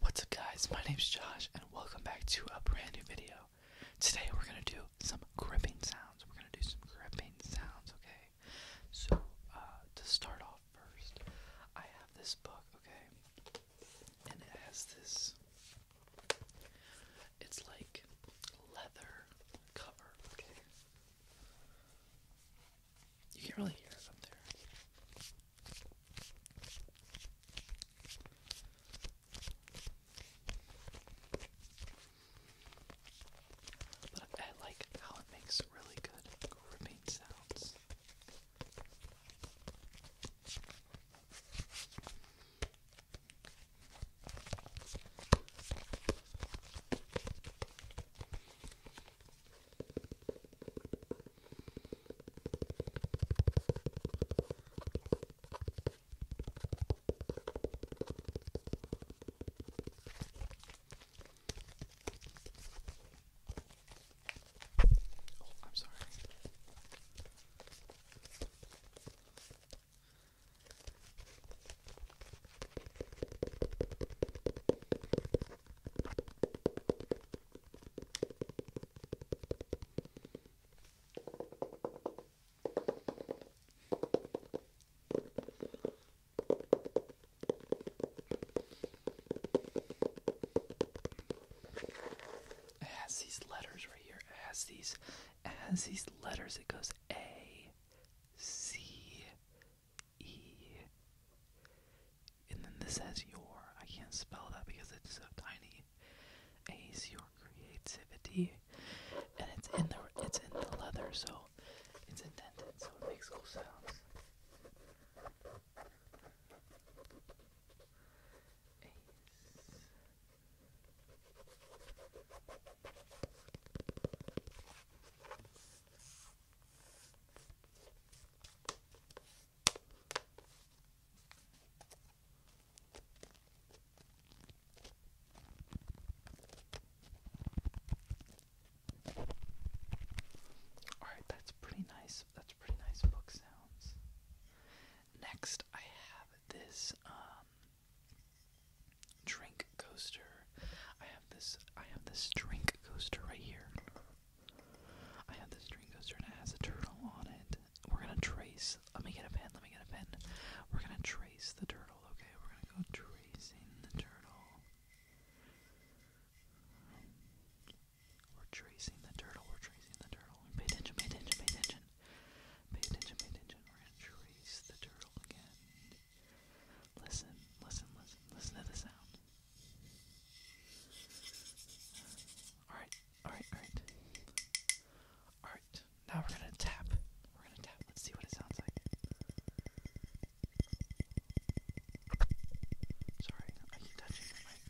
What's up guys, my name is Josh and welcome back to a brand new video. Today we're gonna do some gripping sounds. We're gonna do some gripping sounds, okay? So, uh, to start off first, I have this book, okay? And it has this, it's like leather cover, okay? You can't really hear it up there. But I like how it makes really good gripping sounds. Oh, I'm sorry. It has these letters right here. It has these it has these letters. It goes A C E and then this says your. I can't spell that because it's a tiny. Ace your creativity, and it's in the it's in the leather, so it's indented, so it makes cool sounds. Ace. Alright, that's pretty nice. That's pretty nice book sounds. Next, I have this um, drink coaster. I have this. I have this drink coaster right here. I have this dream coaster and has a turtle on it. We're gonna trace. Let me get a pen. Let me get a pen. We're gonna trace the turtle. Okay, we're gonna go tracing the turtle. We're tracing the turtle. We're tracing the turtle. Pay attention. Pay attention. Pay attention. Pay attention. Pay attention. We're gonna trace the turtle again. Listen. Listen. Listen. Listen to the sound. Alright, alright, alright. Alright, now we're gonna tap. We're gonna tap. Let's see what it sounds like. Sorry, I keep touching the mic.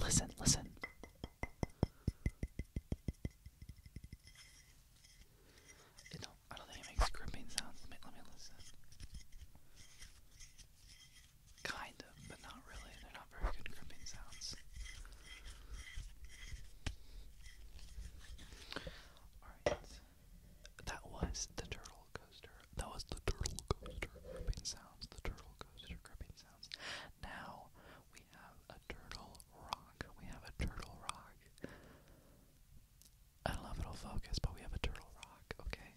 Listen, listen. It don't, I don't think it makes gripping sounds. Let me, listen. Kind of, but not really. They're not very good gripping sounds. Alright. That was the turtle coaster. That was the turtle coaster gripping sounds. The turtle coaster gripping sounds. Now we have a turtle rock. We have a turtle rock. I don't know if it'll focus, but we have a turtle rock, okay?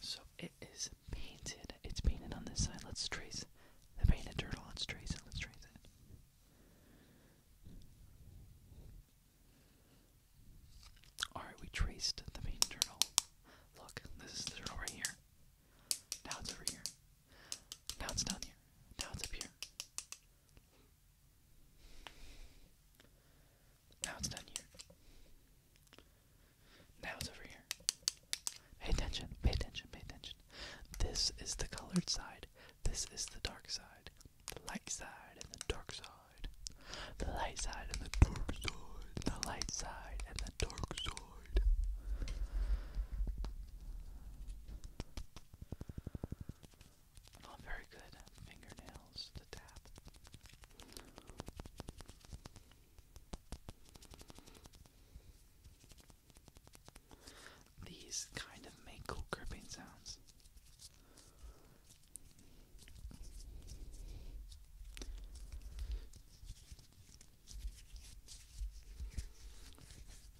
So it is painted. It's painted on this side. Let's trace the painted turtle, let's trace it, let's trace it. Alright, we traced the painted turtle. Look, this is the turtle right here. Now it's over here. Now it's down here. Now it's up here. Now it's down here. Now it's over here. Pay attention, pay attention, pay attention. This is the colored side, this is the dark side, the light side and the dark side, the light side and the dark side, the light side and the dark side. Not very good fingernails to tap. These kind of make cool gripping sounds.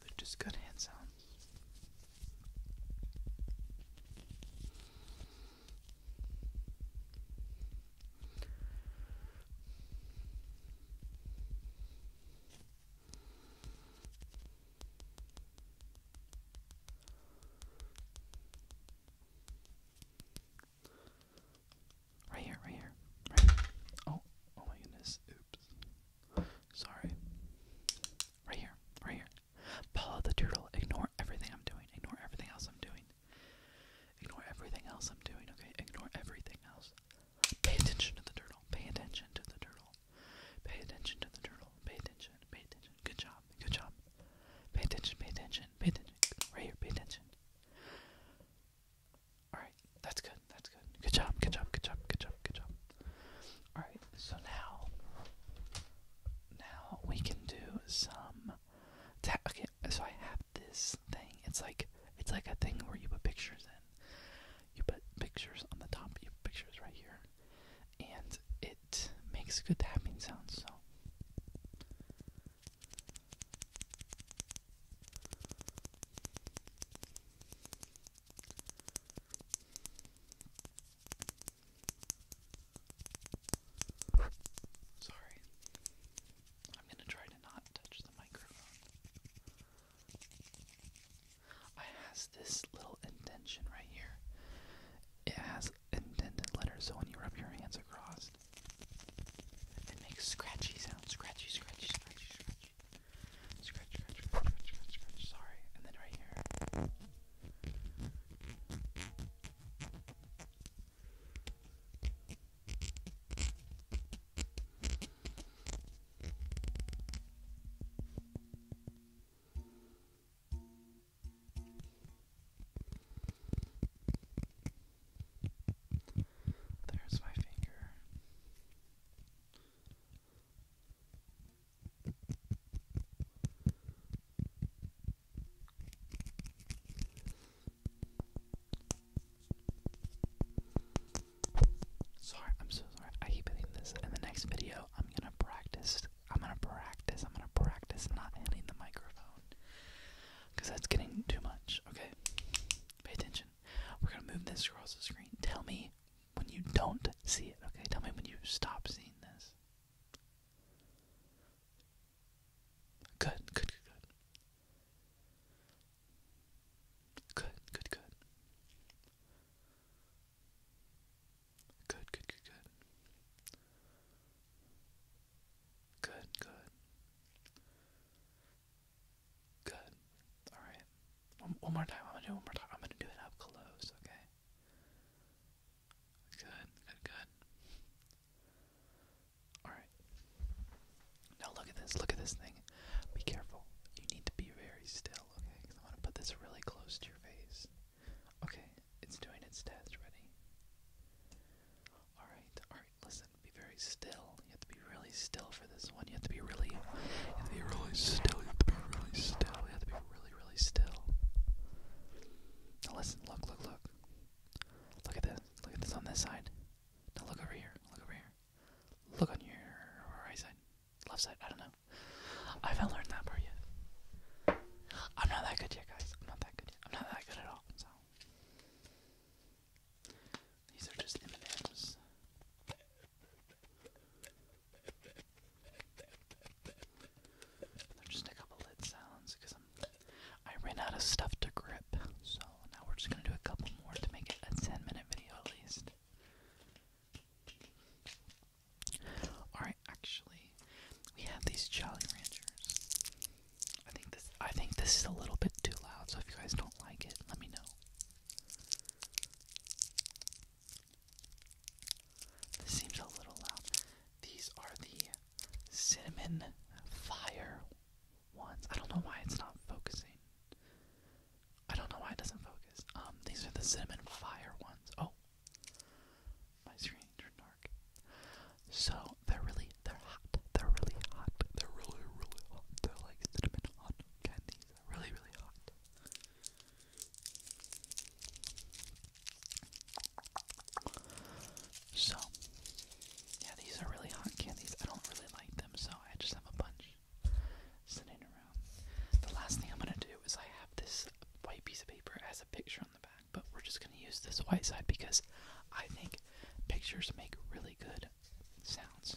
They're just good hand sounds. Right here, right here. Right Oh, oh my goodness. Oops. Sorry. Right here, right here. Paula the turtle, ignore everything I'm doing. Ignore everything else I'm doing. Ignore everything else I'm doing, okay? Ignore everything else this. Pay attention to the turtle. Pay attention to the turtle. Pay attention to the turtle. Pay attention. Pay attention. Good job. Good job. Pay attention. Pay attention. Pay attention. Right here. Pay attention. Alright. That's good. That's good. Good job. Good job. Good job. Good job. Good job. Alright. So now. Now we can do some. Okay. So I have this thing. It's like it's like a thing where you put pictures in. You put pictures on the top, you put pictures right here. And it makes a good tapping sound. so Sorry. I'm going to try to not touch the microphone. I has this little indention right here. It has indented letters, so when you rub your hands across, it makes scratchy sounds. Scratchy, scratchy, scratchy, scratchy. Scratch, scratch, scratch, scratch, scratch, scratch. Sorry. And then right here. There's my finger. Sorry, I'm so sorry. I keep hitting this. In the next video, I'm gonna practice. I'm gonna practice. I'm gonna practice not hitting the microphone. Because that's getting too much, okay? Pay attention. We're gonna move this across the screen. Tell me when you don't see it, okay? Tell me when you stop seeing this. Good, good, good, good. Good, good, good. Good, good, good, good. Good, Alright. One, one more time. I'm gonna do one more time. I'm gonna do it up close, okay? Good, good, good. Alright. Now look at this. Look at this thing. Be careful. You need to be very still, okay? Because I going to put this really close to your face. Okay, it's doing its test. Ready? Alright, alright. Listen, be very still. You have to be really still for this one. You have to be really. You have to be really still. You have to be really still. You have to be really, really still. Now listen, look, look, look. Look at this. Look at this on this side. Now look over here. Look over here. Look on your right side, left side. I don't know. I haven't learned that part yet. I'm not that good yet, guys. I'm not that good I'm not that good at all. So these are just M&Ms. They're just a couple lid sounds because I ran out of stuff to grip. So now we're just gonna do a couple more to make it a 10 minute video at least. Alright, actually, we have these Jolly Ranchers. I think this I think this is a little bit too loud, so if you guys don't like it, let me know. This seems a little loud. These are the cinnamon fire ones. I don't know why it's not focusing. I don't know why it doesn't focus. Um, these are the cinnamon fire ones. Oh, my screen turned dark. So they're really, they're hot. They're really hot. They're really, really hot. They're like cinnamon hot candies. really, really hot. So, yeah, these are really hot candies. I don't really like them so I just have a bunch sitting around. The last thing I'm gonna do is I have this white piece of paper. It has a picture on the back, but we're just gonna use this white side because I think pictures make really good sounds.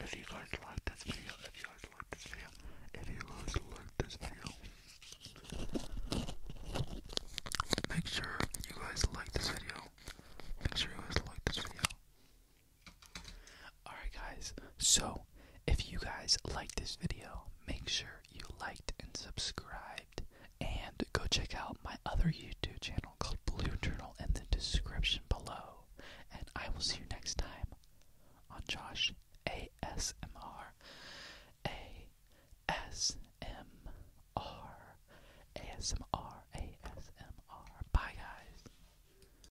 If you guys like this video, if you guys like this video, if you guys like this video, make sure you guys like this video. Make sure you guys like this video. Alright, guys, so if you guys liked this video, make sure you liked and subscribed. And go check out my other YouTube channel called Blue Journal in the description below. And I will see you next time on Josh ASMR. ASMR. ASMR. ASMR. Bye, guys.